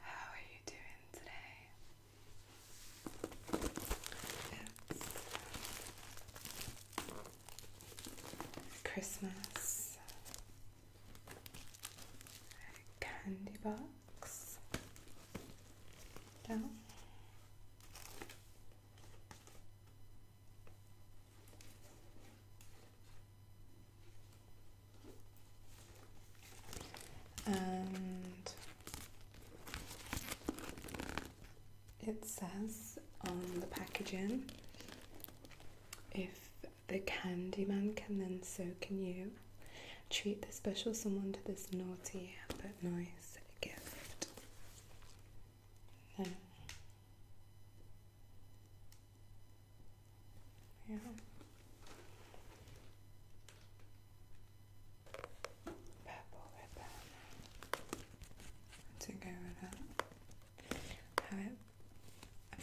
How are you doing today? It's Christmas candy box down and it says on the packaging if the Candyman can then so can you treat the special someone to this naughty but nice gift. Yeah. Purple ribbon. To go with that. Have it I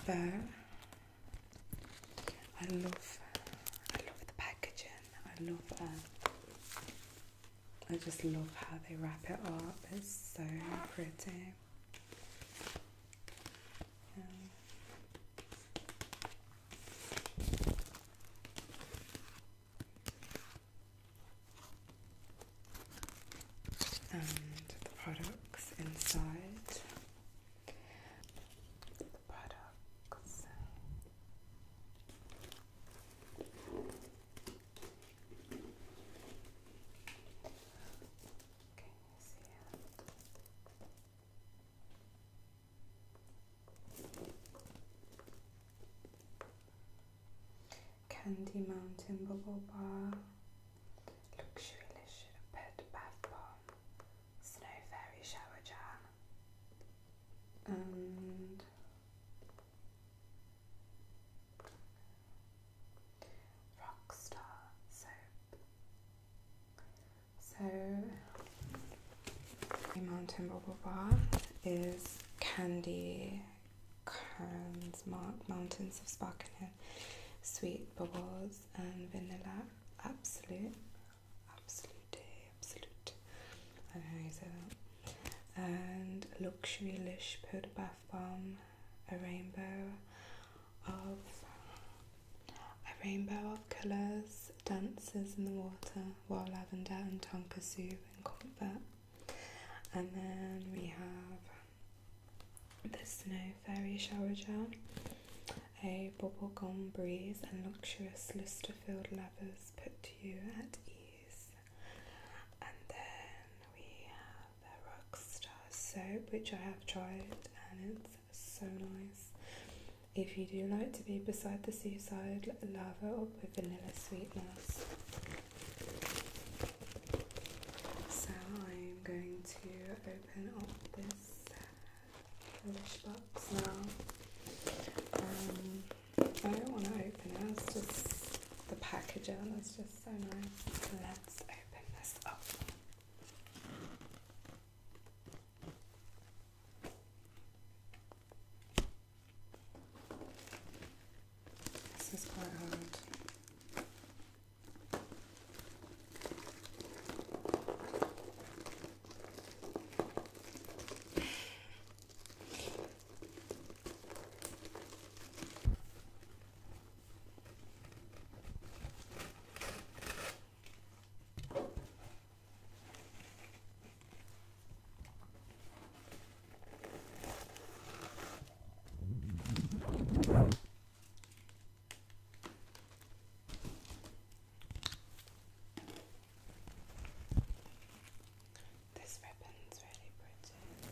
love I love the packaging. I love um, I just love how they wrap it up. It's so pretty and the products inside. The products. Candy Mountain Bubble Bar, Luxury Leopard Bath Bomb, Snow Fairy Shower Jar, and Rockstar soap. So, the Mountain Bubble Bath is candy cans, mountains of sparkling sweet bubbles and vanilla. Absolute, absolute, absolute. I know you say that. And luxury lish powder bath bomb, a rainbow of a rainbow of colours dances in the water while lavender and tonkatsu and comfort. And then we have the snow fairy shower gel, a bubblegum breeze and luxurious luster-filled lavas put you at ease. And then we have their Rockstar soap, which I have tried and it's so nice. If you do like to be beside the seaside, lava up with vanilla sweetness. So I'm going to open up this rubbish box now. Um, I don't want to open it, it's just the packaging, it's just so nice. Let's open this up. This is quite hard. This ribbon's really pretty.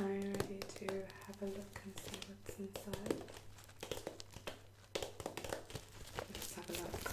Are you ready to have a look and see what's inside? Let's have a look.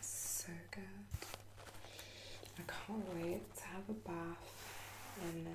So good. I can't wait to have a bath in this.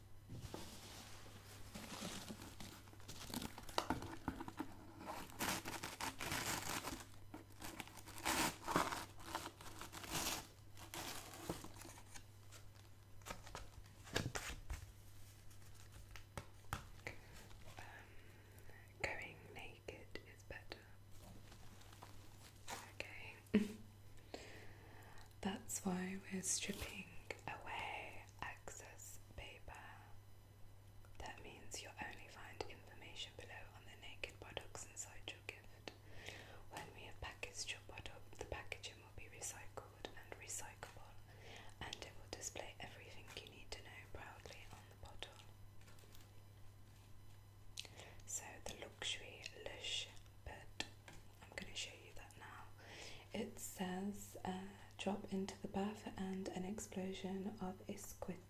Um, going naked is better. Okay. That's why we're stripping away access paper. That means you'll only find information below on the naked products inside your gift. When we have your product, the packaging will be recycled and recyclable, and it will display everything you need to know proudly on the bottle. So, the luxury lush bed. I'm going to show you that now. It says uh, drop into the bath and an explosion of exquisite,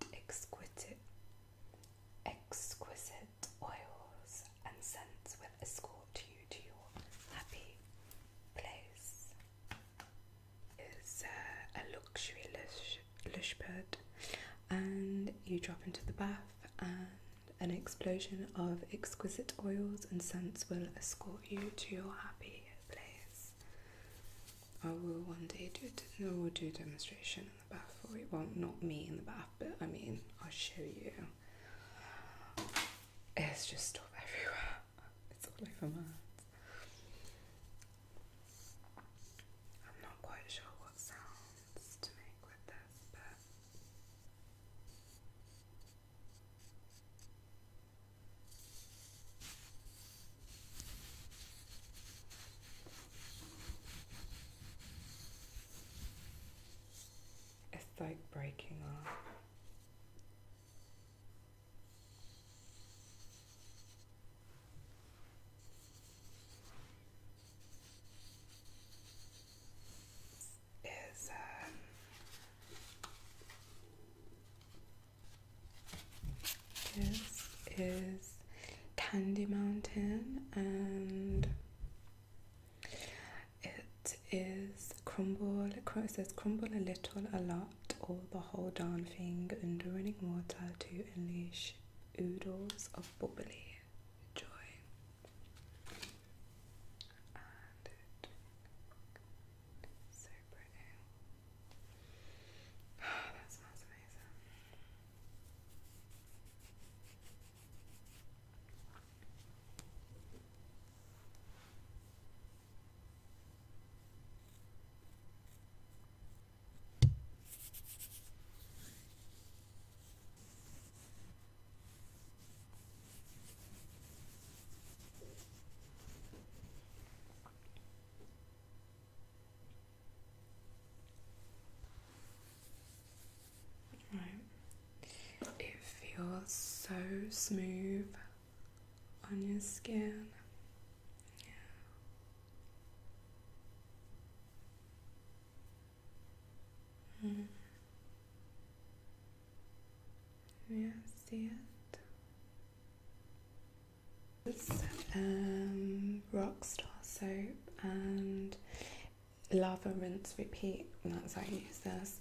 exquisite, oils and scents will escort you to your happy place. Is uh, a luxury lush, lush bed, and you drop into the bath and. An explosion of exquisite oils and scents will escort you to your happy place. I will one day do a will do demonstration in the bath for you. Well, not me in the bath, but I mean, I'll show you. It's just stuff everywhere. It's all over my hands. I'm not quite sure what sounds to make with this, but it's like breaking off is um, this is Candy Mountain and it is crumble it says crumble a little a lot or the whole darn thing under running water to unleash oodles of bubbly joy and it's that smells amazing. Right. It feels so smooth on your skin. Mm. Mm-hmm. Yeah, see it? Um, Rockstar soap and lava rinse repeat. That's how you use this.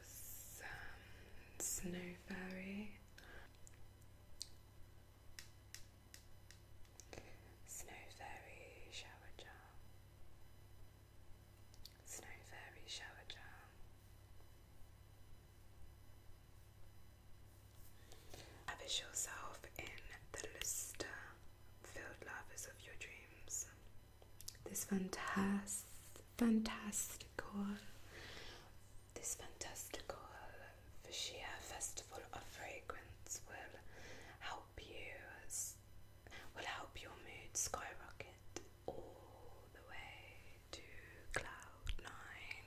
This um, snow fairy Snow Fairy Shower Charm, Snow Fairy Shower Charm. Lavish yourself in the luster filled lovers of your dreams. This fantas fantastical this fantastical uh, Fushia Festival of Fragrance will help you will help your mood skyrocket all the way to cloud nine.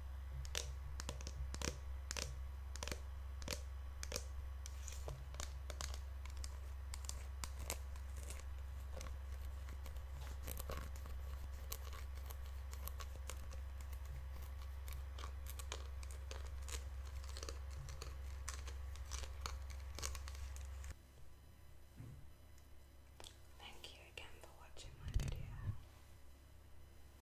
Thank you again for watching my video.